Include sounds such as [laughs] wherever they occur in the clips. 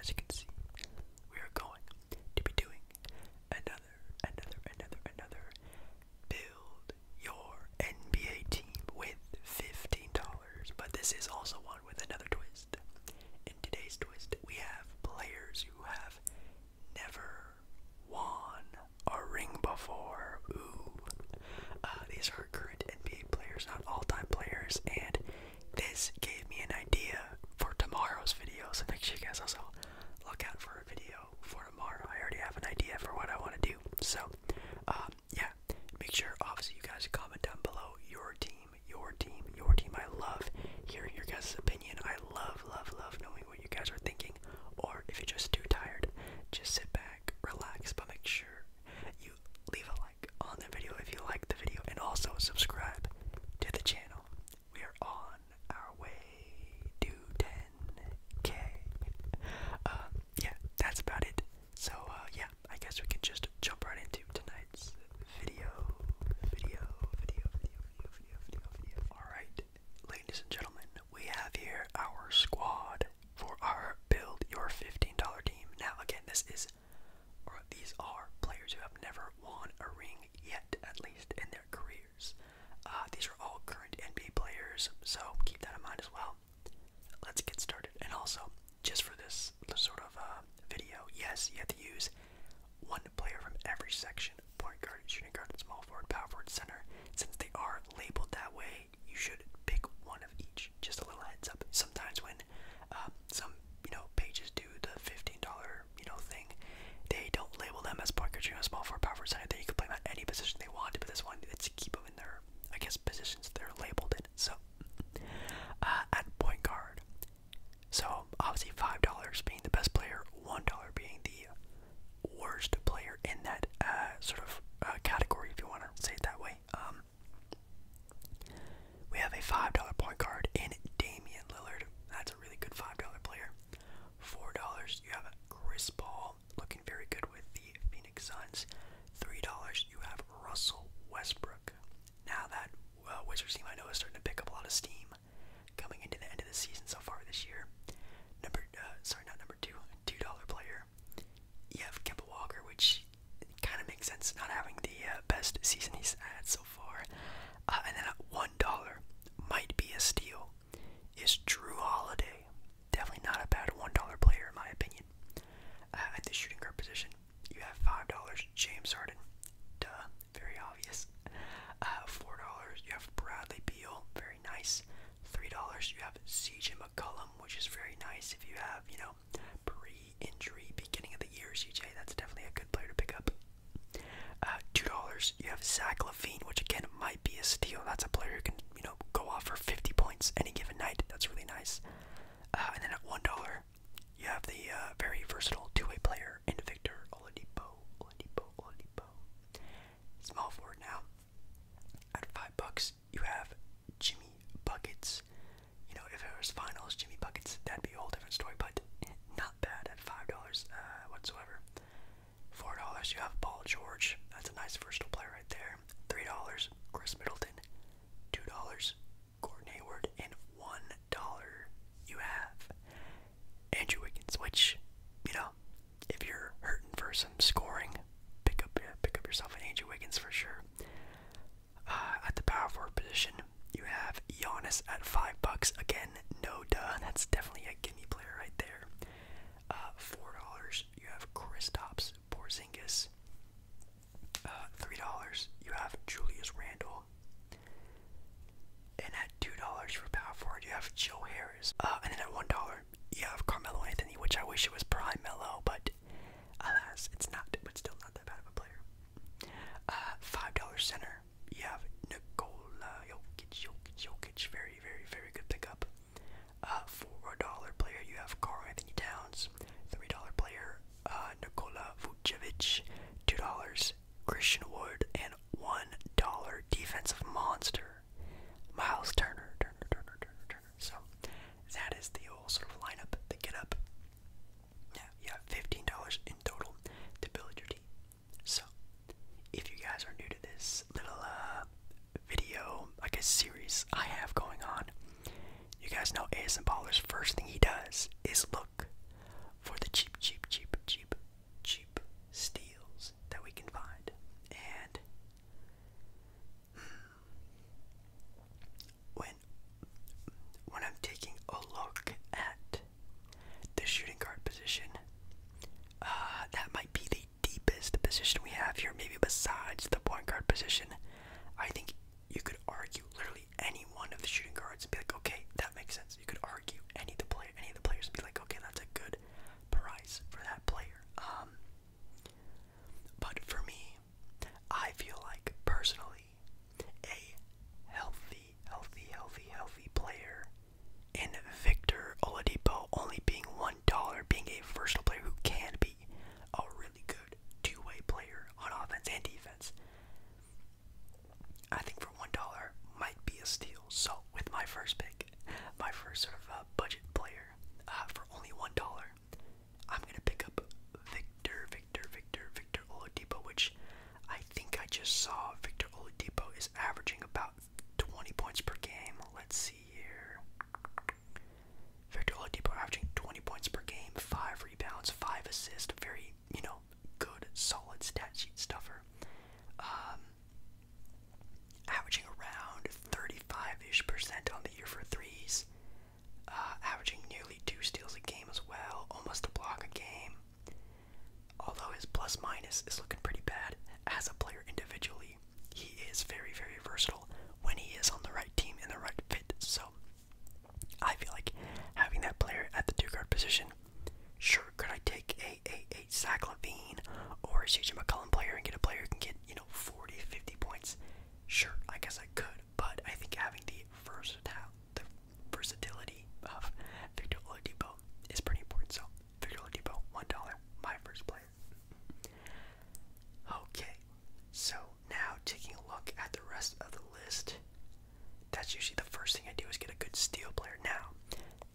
as you can see, we are going to be doing another, another, another, another build your NBA team with $15. But this is also one with another twist. In today's twist, we have players who have never won a ring before. Ooh. Uh, these are current NBA players, not all time players, and this gave me an idea for tomorrow's video, so make sure you guys also look out for a video for tomorrow. I already have an idea for what I want to do. So, um, yeah, make sure obviously you guys comment down below your team, your team, your team. I love hearing your guys' opinion. I love, love, love knowing what you guys are thinking. Or if you're just too tired, just sit back, relax, but make sure you leave a like on the video if you like the video, and also subscribe to the channel. We are on our way to 10k. Um, uh, yeah, that's about it. So, uh, yeah, I guess we can just jump right into tonight's video. Video, video, video, video, video, video, video. Alright, ladies and gentlemen, we have here our squad for our build your $15 team. Now, again, this is or these are players who have never won a ring yet, at least in their careers. Uh, these are all current NBA players, so keep that in mind as well. Let's get started. And also, just for this, sort of uh, video, yes, you have to use one player from every section point guard, shooting guard, small forward, power forward, center. Since they are labeled that way, you should pick one of each. Just a little heads up. Sometimes when uh, some you know pages do the fifteen dollar you know thing. They don't label them as point guard, you know, small forward, power forward, center. They can play them at any position they want, but this one it's keep them in their I guess positions they're labeled in. So uh, at point guard, so obviously five dollars being the best player, one dollar being the worst player in that uh, sort of uh, category, if you want to say it that way. Um, um, we have a $5 point guard in Damian Lillard. That's a really good $5 player. $4, you have Chris Paul, looking very good with the Phoenix Suns. $3, you have Russell Westbrook. Now that uh, Wizards team I know is starting to pick up a lot of steam coming into the end of the season so far this year. Number, uh, sorry, not number two, $2 player. You have Kemba Walker, which it kind of makes sense not having the uh, best season he's had so far. Uh, and then at one dollar might be a steal is Drew Holiday. Definitely not a bad one dollar player in my opinion. Uh, at the shooting guard position, you have five dollars James Harden. Duh, very obvious. Four dollars you have Bradley Beal, very nice. Three dollars you have CJ McCollum, which is very nice if you have you know pre-injury beginning of the year CJ. That's definitely a good player to pick up. Uh, two dollars. You have Zach Levine, which again might be a steal. That's a player who can you know go off for 50 points any given night. That's really nice. Uh, and then at one dollar, you have the uh, very versatile two-way player in Victor Oladipo. Oladipo. Oladipo. Small forward now. At five bucks, you have Jimmy Buckets. You know, if it was finals, Jimmy Buckets, that'd be a whole different story, but not bad at $5 uh, whatsoever. $4, you have Paul George. That's a nice versatile player right there. $3, Chris Middleton. $2, Gordon Hayward. And $1, you have Andrew Wiggins, which, you know, if you're hurting for some scoring, pick up, pick up yourself an Andrew Wiggins for sure. Uh, at the power forward position, you have Giannis at five bucks. Again, no duh. That's definitely a gimme player right there. Uh, four dollars. You have Kristaps Porzingis. Uh, three dollars. You have Julius Randle. And at two dollars for power forward, you have Joe Harris. and then at one dollar, you have Carmelo Anthony, which I wish it was Prime Mello, but Alas, it's not, but still not that bad of a player. Uh, $5 center, you have Nikola Jokic, Jokic, Jokic, very, very, very good pickup. Uh, $4 player, you have Carl Anthony Towns. $3 player, uh, Nikola Vucevic. $2, Christian Wood, and $1 defensive monster, Miles Turner, Turner, Turner, Turner, so that is the whole sort of lineup, the get up. Yeah, you have fifteen dollars in total to build your team. So if you guys are new to this little uh, video, like a series I have going on, you guys know AS and Baller's first thing he does is look for the cheap, cheap, cheap, cheap, cheap steals that we can find. And hmm, when when I'm taking a look at the shooting guard position, uh, that might be the deepest position we have here, maybe besides the point guard position. I think you could argue literally any one of the shooting guards and be like, okay, that makes sense. You could argue any of the player, any of the players, and be like, okay, that's a good price for that player. Um, but for me, I feel like personally, a healthy, healthy, healthy, healthy player and Victor Oladipo only being one dollar, being a versatile player who can be a really good two-way player on offense and defense. I think for one dollar might be a steal. So with my first pick, my first sort of uh, budget player uh, for only one dollar, I'm gonna pick up Victor, Victor, Victor, Victor Oladipo, which I think I just saw. Victor Oladipo is averaging about 20 points per game. Let's see here. Victor Oladipo averaging 20 points per game, five rebounds, five assists. Very, you know, good, solid stat sheet stuffer. Um, averaging around 35-ish percent on the year for threes. Uh, averaging nearly two steals a game as well, almost a block a game. Although his plus minus is looking pretty bad as a player individually, he is very, very versatile when he is on the right team in the right fit. So I feel like having that player at the two guard position, sure, could I take a, a, a Zach Levine or a CJ McCollum player and get a player who can get, you know you 50 points. Sure, I guess I could, but I think having the versatility of Victor Oladipo is pretty important. So, Victor Oladipo, $1, my first player. Okay, so now taking a look at the rest of the list, that's usually the first thing I do is get a good steal player. Now,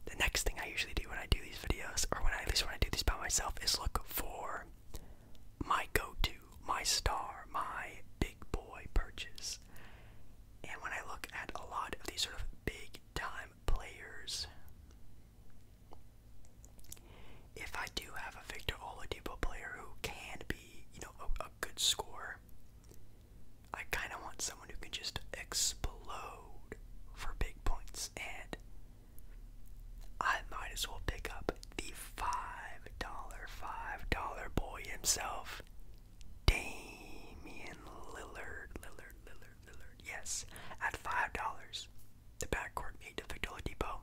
the next thing I usually do when I do these videos, or when I, at least when I do these by myself, is look for my go-to, my star, my big boy purchase. And when I look at a lot of these sort of big time players, if I do have a Victor Oladipo player who can be, you know, a, good scorer, I kind of want someone who can just explode for big points. And I might as well pick up the five dollar, five dollar boy himself, Damian Lillard, Lillard, Lillard, Lillard. Yes, at five dollars, the backcourt made to Victor Depot,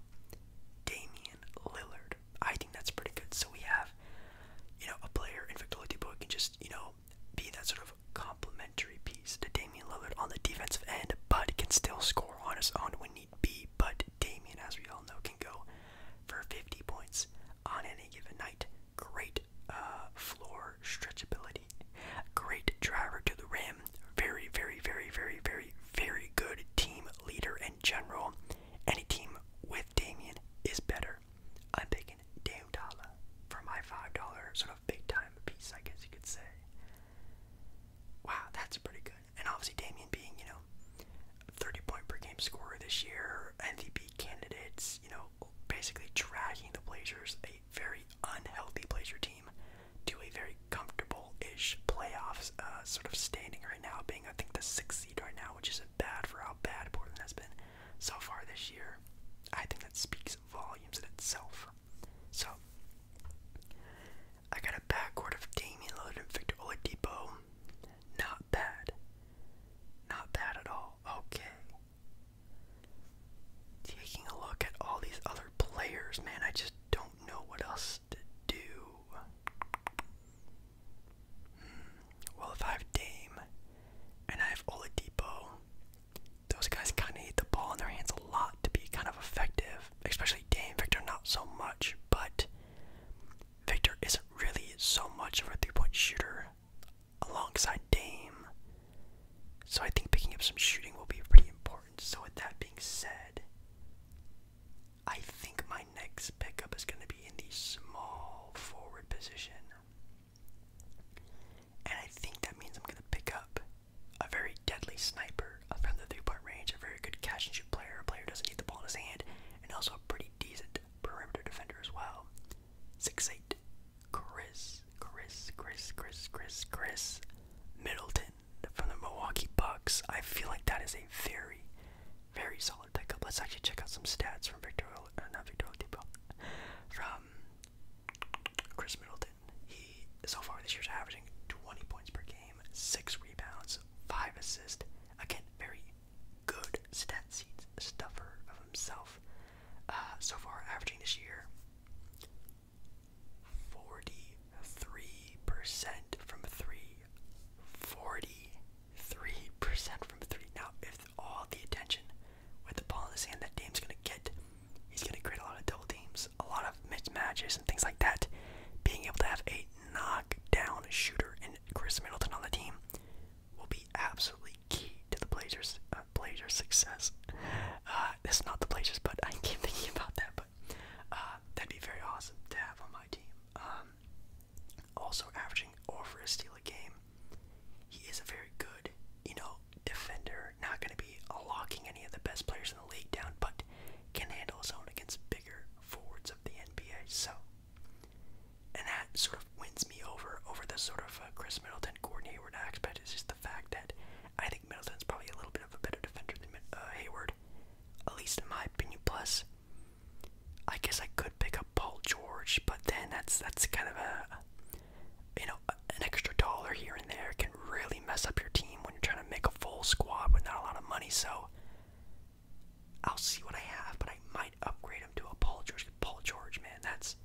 Damian Lillard. I think that's pretty good. So we have, you know, a player in Victor Depot can just, you know, be that sort of complementary piece to Damian Lillard on the defensive end, but can still score on his own when be, but Damien, as we all know, can go for 50 points on any given night. Great uh, floor stretchability, great driver to the rim, very, very, very, very, very, very good team leader in general. Any team with Damien is better. I'm taking Dame Dala for my $5 sort of big time piece, I guess you could say. Wow, that's pretty good and obviously Damian being, you know, 30 point per game scorer this year, MVP candidates, you know, basically dragging the Blazers, a very unhealthy Blazer team, to a very comfortable ish playoffs uh, sort of standing right now, being, I think, the sixth seed right now, which isn't bad for how bad Portland has been so far this year. I think that speaks volumes in itself. So I got a backcourt of Damian Lillard and Victor Oladipo. Not bad. Not bad at all. Okay. Taking a look at all these other players, man, I just don't know what else to do. Hmm. Well, if I have Dame and I have Oladipo, those guys kind of need the ball in their hands a lot to be kind of effective especially Dame. Victor, not so much, but Victor isn't really so much of a three point shooter alongside Dame. So I think picking up some shooting will be pretty important. So, with that being said, I think my next pickup is going to be in the small forward position. And I think that means I'm going to pick up a very deadly sniper from the three-point range, a very good catch and shoot player, a player who doesn't need the ball in his hand, and also a pretty decent perimeter defender as well. 6'8, Chris, Chris, Chris, Chris, Chris, Chris Middleton from the Milwaukee Bucks. I feel like that is a very, very solid pickup. Let's actually check out some stats from Victor, uh, not Victor Oladipo, from Chris Middleton he so far this year's averaging 20 points per game, six rebounds, five assists. Again, very good stat seat stuffer of himself. Uh, so far, averaging this year 43% from three. 43% from three. Now, if all the attention with the ball in his hand that Dame's gonna get he's going to create a lot of double teams, a lot of mismatches, and things like that. Being able to have a knockdown shooter and Chris Middleton on the team will be absolutely key to the Blazers' uh, Blazers' success. Uh, that's not the Blazers, but I keep thinking about that. But uh, that'd be very awesome to have on my team. Um, also, averaging over a steal a game, he is a very good, you know, defender. Not going to be to be locking any of the best players in the league down, but can handle his own against bigger forwards of the NBA. So, and that sort of wins me over over the sort of uh, Chris Middleton, Gordon Hayward aspect. Is just the fact that I think Middleton's probably a little bit of a better defender than uh, Hayward, at least in my opinion. Plus, I guess I could pick up Paul George, but then that's that's kind of a you know an extra dollar here and there really mess up your team when you're trying to make a full squad with not a lot of money. So I'll see what I have, but I might upgrade him to a Paul George. Paul George, man, that's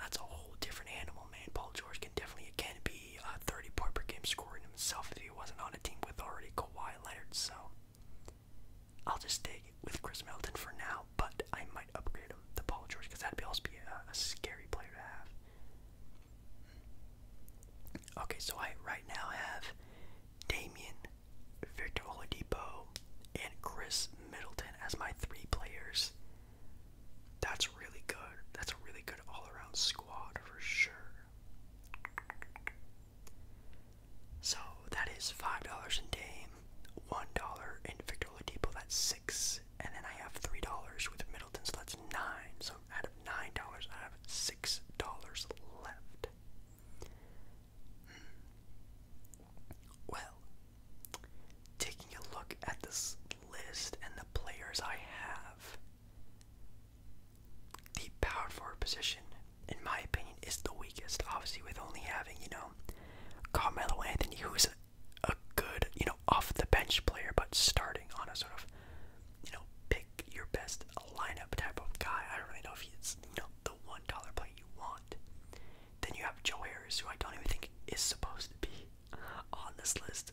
that's a whole different animal, man. Paul George can definitely again be a 30 point per game scorer himself if he wasn't on a team with already Kawhi Leonard. So I'll just stay with Chris Melton for now, but I might upgrade him to Paul George because that'd be also be a scary player to have. Okay, so I right now have Damien, Victor Oladipo, and Chris Middleton as my three players. That's really good. That's a really good all-around squad for sure. So that is five dollars in Dame, one dollar in Victor Oladipo. That's six, and then I have three dollars with Middleton. So that's nine. So out of nine dollars, I have six dollars left. Hmm. Well, taking a look at this list and the players I have, the power forward position, in my opinion, is the weakest. Obviously, with only having you know Carmelo Anthony, who's a good you know off the bench player, but starting on a sort of you know, pick your best lineup type of guy. I don't really know if he's you know the one dollar play you want. Then you have Joe Harris, who I don't even think is supposed to be on this list.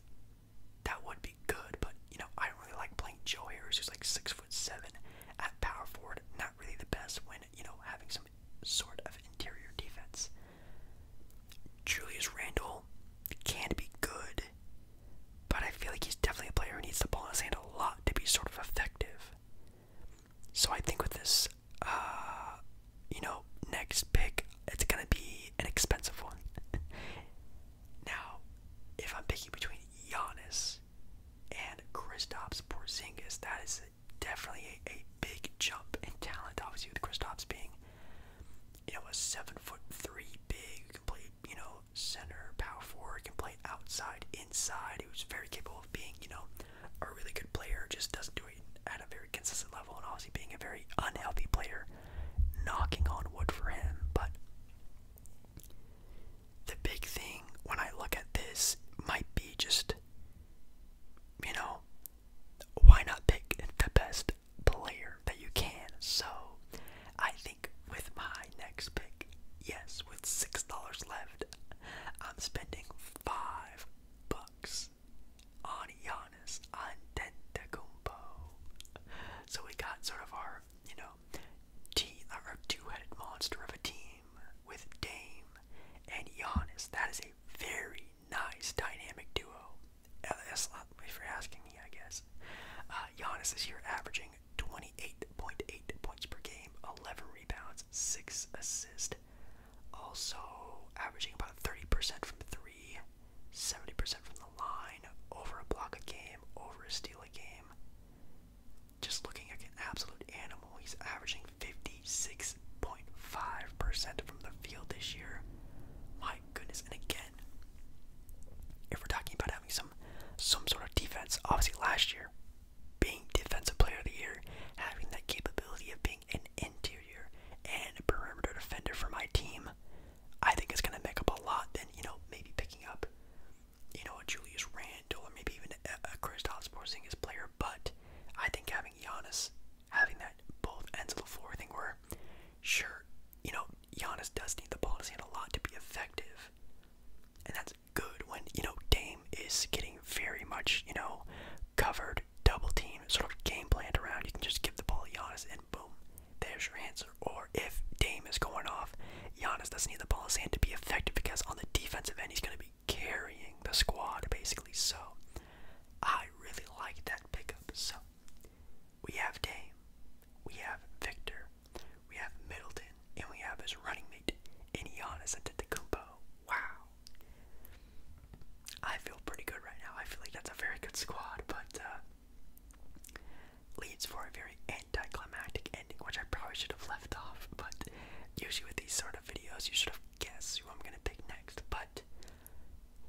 That would be good, but you know, I don't really like playing Joe Harris, who's like six foot seven at power forward. Not really the best when you know having some sort of interior defense. Julius Randle can be good, but I feel like he's definitely a player who needs to ball in his hand a lot to be sort of effective. So I think with this, uh, you know, next pick, it's gonna be an expensive one. [laughs] now, if I'm picking between Giannis and Kristaps Porzingis, that is definitely a, a big jump in talent. Obviously, with Kristaps being you know, a seven foot three big can play, you know, center, power forward, can play outside, inside, was very capable of being, you know, a really good player, just doesn't do it at a very consistent level, and obviously being a very unhealthy player, knocking on wood for him. But the big thing when I look at this might be just, you know, why not pick the best player that you can. So I think with my next pick, yes, with six dollars left, I'm spending five bucks on Giannis Antetokounmpo. So we got sort of our, you know, team, our two-headed monster of a team with Dame and Giannis. That is a very nice dynamic duo. Uh, that's for asking me, I guess. Uh, Giannis this year averaging 28.8 points per game, 11 rebounds, 6 assists. Also averaging about 30% from 3, percent from the line, over a block a game, over a steal a game. Just looking like an absolute animal. He's averaging 56.5% from the field this year. My goodness. And again, if we're talking about having some some sort of defense, obviously last year, being defensive player of the year, having that capability of being an interior and perimeter defender for my team, I think it's gonna make up a lot than, you know, maybe picking up, you know, a Julius Randle or maybe even a, a Kristaps Porzingis player, but I think having Giannis having that both ends of the floor. I think sure, you know, Giannis does need the ball in hand a lot to be effective. And that's good when, you know, Dame is getting very much, you know, covered, double team, sort of game planned around. You can just give the ball to Giannis and boom, there's your answer. Or if Dame is going off, Giannis doesn't need the ball in hand to be effective because on the defensive end, he's going to be carrying the squad basically. So I really like that pickup. So we have Dame, we have Victor, we have Middleton, and we have his running mate, and he Giannis Antetokounmpo. Wow. I feel pretty good right now. I feel like that's a very good squad, but uh, leads for a very anticlimactic ending, which I probably should have left off. But usually with these sort of videos, you should have guessed who I'm gonna pick next. But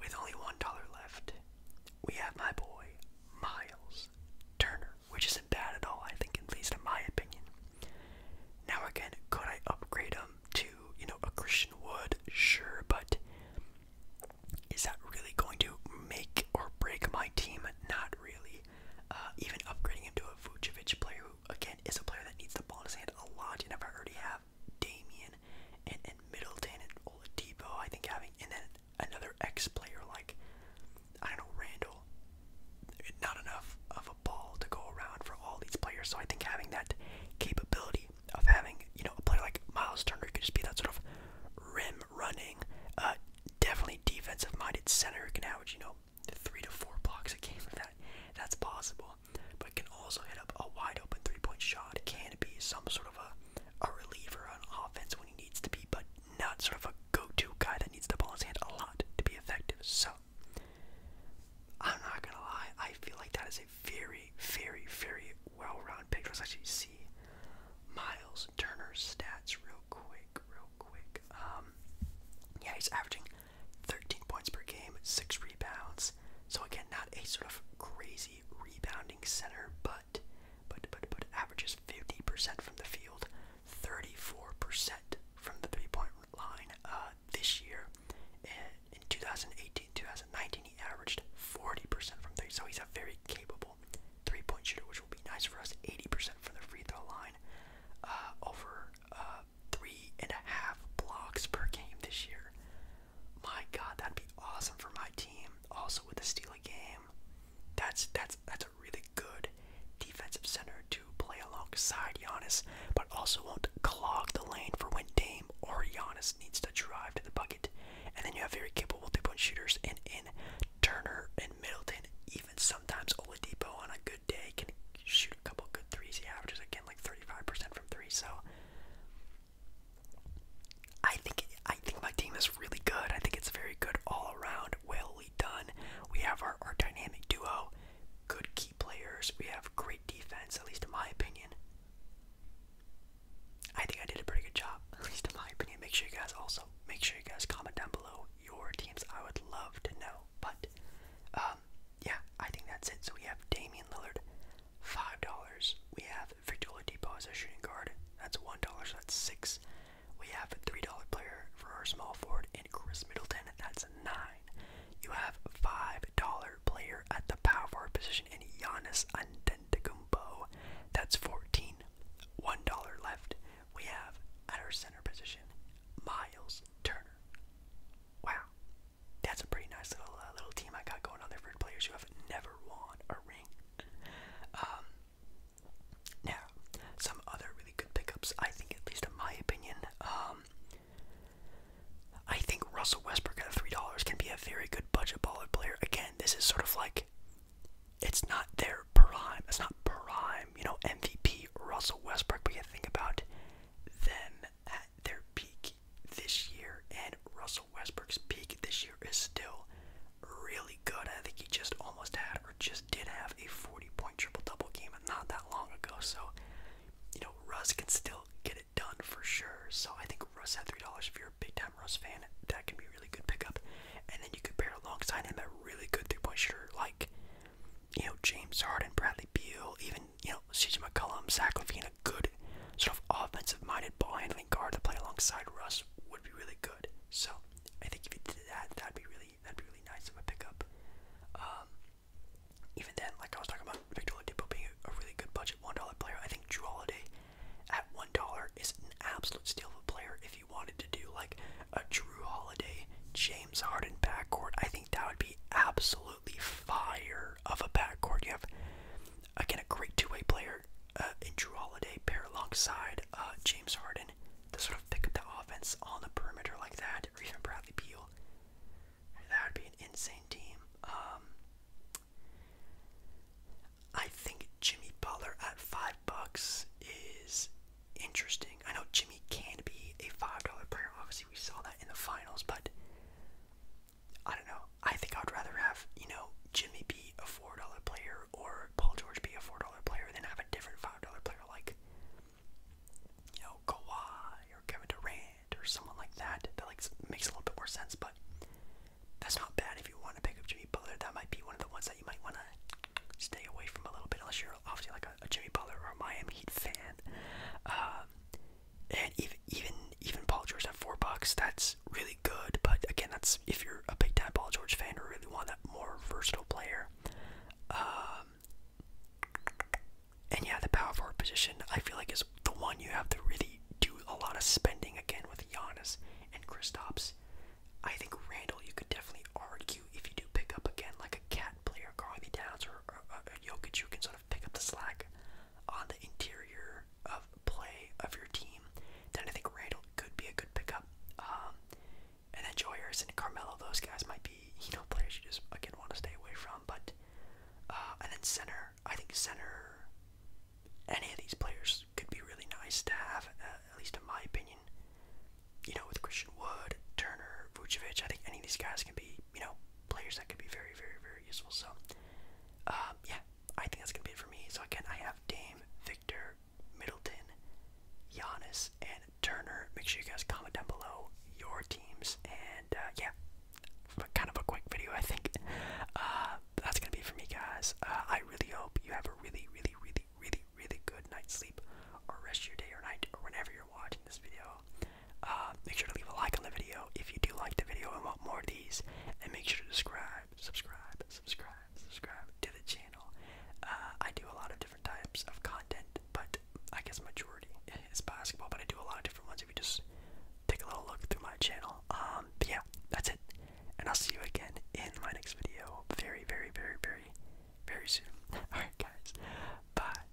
with only $1 left, we have my boy, Miles Turner, which isn't bad at all, I think, at least in my opinion. Now, again, could I upgrade him to, you know, a Christian Wood? Sure, but is that really going to make or break my team? Not really. Uh, even upgrading him to a Vucevic player, who, again, is a player that needs the ball in his hand a lot, You never I already have Damian and, Middleton and Oladipo, I think having, and then another ex-player like, I don't know, Randall. Not enough of a ball to go around for all these players, so I think having that capability of having, you know, a player like Miles Turner could just be that sort of rim running, uh, definitely defensive minded center who can average, you know, three to four blocks a game for that. That's possible well, but can also hit up a wide open three point shot. Can be some sort of a, a reliever on offense when he needs to be, but not sort of a go to guy that needs the ball in his hand a lot to be effective. So, I'm not gonna lie, I feel like that is a very, very, very well rounded pick. Let's actually see Miles Turner's stats real quick, real quick. Um, yeah, he's averaging 13 points per game, six rebounds. So again, not a sort of crazy rebounding center, but but but but averages 50% from the field, 34% from the three-point line uh, this year. in 2018, 2019, he averaged 40% from three, so he's a very capable three-point shooter, which will be nice for us. 80% from the free throw line, uh, over uh, three and a half blocks per game this year. My God, that'd be awesome for my team. Also with the Steely game, that's that's that's a really good defensive center to play alongside Giannis, but also won't clog the lane for when Dame or Giannis needs to drive to the bucket. And then you have very capable three-point shooters and in Turner and Middleton. Even sometimes Oladipo on a good day can shoot a couple good threes. He averages again like 35% from three. So I think I think my team is really good. I think it's very good all around. Well done. We have our, our dynamic duo, good key players. We have great defense, at least in my opinion. I think I did a pretty good job, [laughs] at least in my opinion. Make sure you guys also make sure you guys comment down below your teams. I would love to know. But um, yeah, I think that's it. So we have Damian Lillard, Five dollars. We have Victor Oladipo as a shooting guard. That's one dollar. So that's six. We have a three dollar player for our small forward in Chris Middleton. That's nine. You have a five dollar player at the power forward position in Giannis Antetokounmpo. That's fourteen. One dollar left. We have at our center position Miles Turner. Wow that's a pretty nice little uh, little team I got going on there for players who have never won a ring. Um, now, some other really good pickups, I think, at least in my opinion. Um, I think Russell Westbrook at three dollars can be a very good budget baller player. Again, this is sort of like it's not their prime. It's not prime, you know, MVP Russell Westbrook. But you think about them at their peak this year, and Russell Westbrook's peak this year is still really good. I think he just almost had or just did have a 40 point triple double game not that long ago. So, you know, Russ can still get it done for sure. So, I think Russ at $3 if you're a big time Russ fan, that can be a really good pickup. And then you could pair alongside him a really good three point shooter like, you know, James Harden, Bradley Beal, even you know, CJ McCollum, Zach Levine, a good sort of offensive-minded ball handling guard to play alongside Russ would be really good. So I think if you did that, that'd be really that'd be really nice of a pickup. Um, even then, like I was talking about Victor Oladipo being a, a really good budget one dollar player, I think Drew Holiday at one dollar is an absolute steal of a player. If you wanted to do like a Drew Holiday, James Harden backcourt, I think that would be absolutely fire of a backcourt. You have again a great two-way player uh, in Drew Holiday pair alongside uh, James Harden to sort of pick up the offense on the perimeter like that, or even Bradley Beal. That would be an insane team. Um, I think Jimmy Butler at five bucks is interesting. I know Jimmy can be a five dollar player. Obviously, we saw that in the finals, but I don't know. I think I'd rather have, you know, Jimmy be a $4 player or Paul George be a $4 player than have a different $5 player like, you know, Kawhi or Kevin Durant or someone like that. That like makes a little bit more sense, but that's not bad if you want to pick up Jimmy Butler. That might be one of the ones that you might want to stay away from a little bit unless you're obviously like a, a Jimmy Butler or a Miami Heat fan. Um, and eh, even even even Paul George at four bucks, that's really good. But again, that's if you're a big time Paul George fan or really want that more versatile player. Um, and yeah, the power forward position I feel like is the one you have to really do a lot of spending again with Giannis and Kristaps. I think Randall, you could definitely argue if you do pick up again like a cat player, Carly Downs or, or, or uh, Jokic, who can sort pick up the slack on the interior of play of your team, then I think Randall could be a good pickup. Um, and then Joe and Carmelo, those guys might be, you know, players you just, again, want to stay away from. But, uh, and then center, I think center, any of these players could be really nice to have, uh, at least in my opinion. You know, with Christian Wood, Turner, Vucevic, I think any of these guys can be, you know, players that could be very, very, very useful. So, um, yeah, I think that's gonna be it for me. So again, I have Dame, Victor, Middleton, Giannis, and Turner. Make sure you guys comment down below your teams, and uh, yeah, kind of a quick video, I think. Uh, that's gonna be it for me, guys. Uh, I really hope you have a really, really, really, really, really good night's sleep, or rest your day or night, or whenever you're watching this video. Uh, make sure to leave a like on the video if you do like the video and want more of these. And make sure to subscribe, subscribe, subscribe, subscribe to the channel. Uh, I do a lot of different types of content, but I guess majority is basketball. But I do a lot of different ones if you just take a little look through my channel. Um, but yeah, that's it. And I'll see you again in my next video very, very, very, very, very soon. [laughs] Alright, guys. Bye.